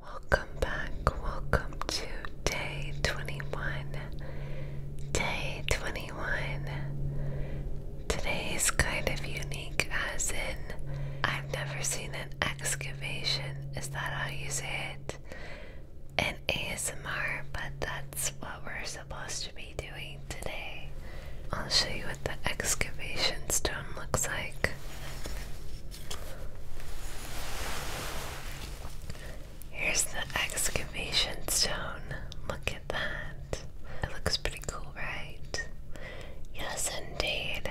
Welcome back, welcome to day 21. Day 21. Today is kind of unique, as in, I've never seen an excavation. Is that how you say it? In ASMR, but that's what we're supposed to be doing today. I'll show you what the excavation stone looks like. Here's the excavation stone. Look at that. It looks pretty cool, right? Yes, indeed.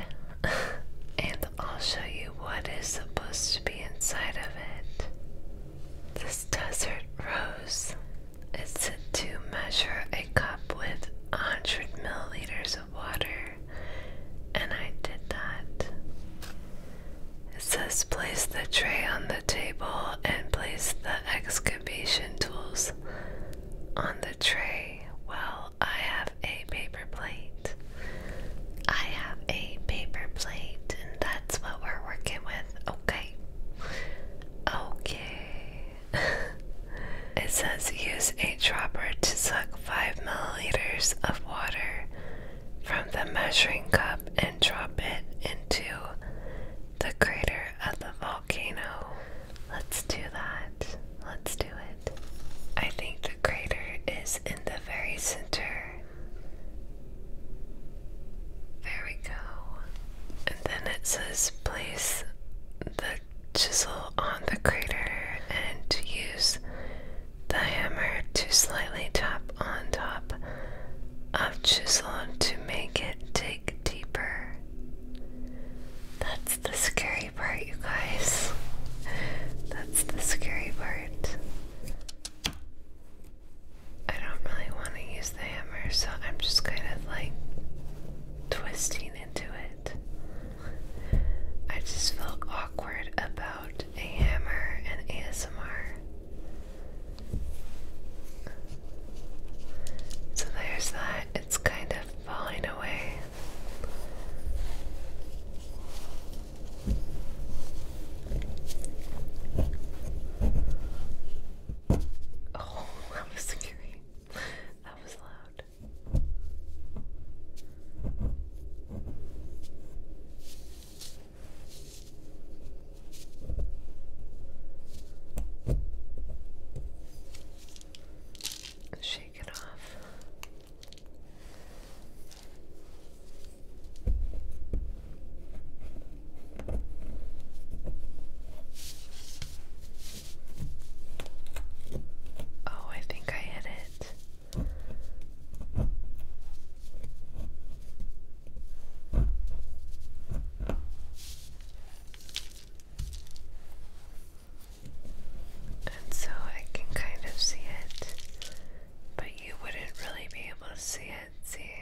and I'll show you what is supposed to be inside of it. This desert rose is said to measure a cup with 100 milliliters of water and I did that. It says place the tray on the table and place the excavation tools on the tray. Well, I have a paper plate. I have a paper plate, and that's what we're working with. Okay. Okay. It says use a dropper to suck 5 milliliters of water from the measuring cup and drop it into the crater of the volcano. Let's do that. Let's do it. I think the crater is in the very center. There we go. And then it says place the chisel on the crater and use the hammer to slightly tap on top of chisel to make it dig deeper. That's the scary part, you guys. That's the scary part. I don't really want to use the hammer, so I'm just kind of like twisting into it. I just felt awkward about a hammer and ASMR. So there's that, it's kind of falling away. Oh, that was scary. That was loud. Shake it off. Oh, I think I hit it. And so I can kind of see it, but you wouldn't really be able to see it. See,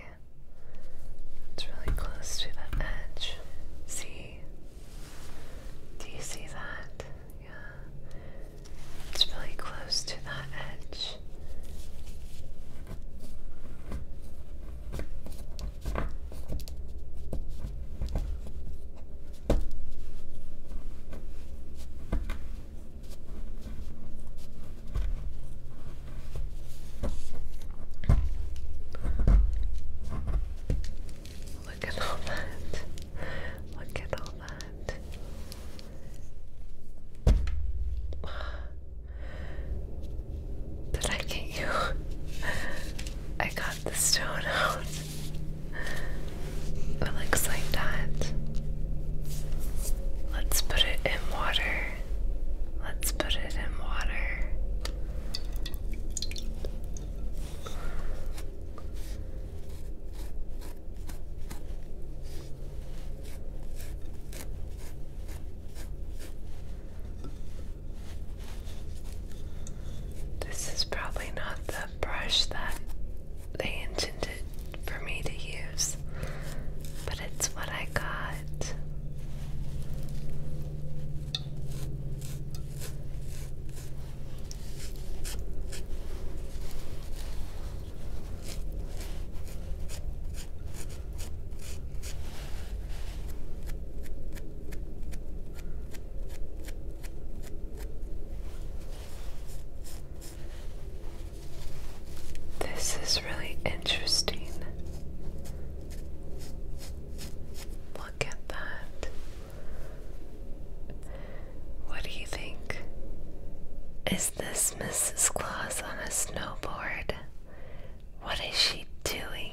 it's really close to the edge. See, do you see that? Yeah. It's really close to that edge look at all that. Look at all that. Did I get you? I got the stone out. It looks like that. Let's put it in water. Let's put it in water. This is probably not the brush that they intended for me to use, but it's what I got. This is really interesting. Look at that. What do you think? Is this Mrs. Claus on a snowboard? What is she doing?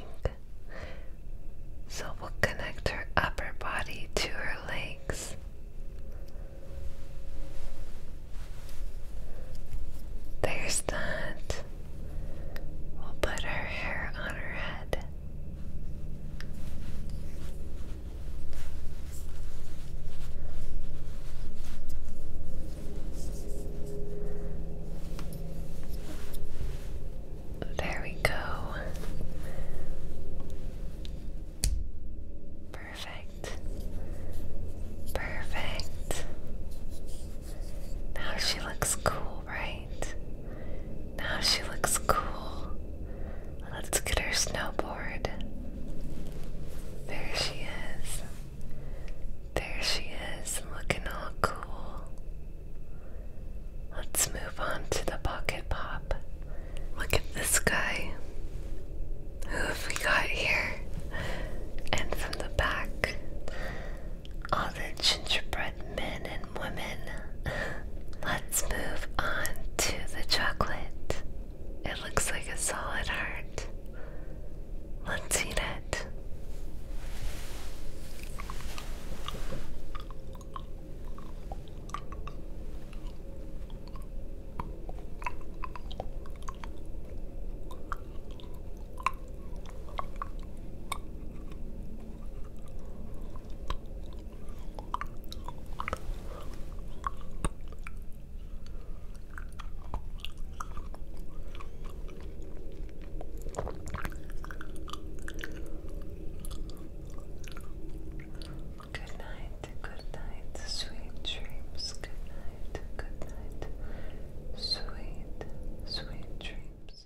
So we'll connect her upper body to her legs. There's that. We'll put her hair on her head. There we go. Perfect. Perfect. Now she looks cool right? Now she looks cool. Let's get her snowboard. There she is. There she is, looking all cool. Let's move on to the bucket Pop. Look at this guy. Who have we got here? And from the back, all the gingerbread men and women. Let's move on to the chocolate. It looks like a solid heart. Let's eat it. Good night, good night, sweet dreams. Good night, good night, sweet, sweet dreams.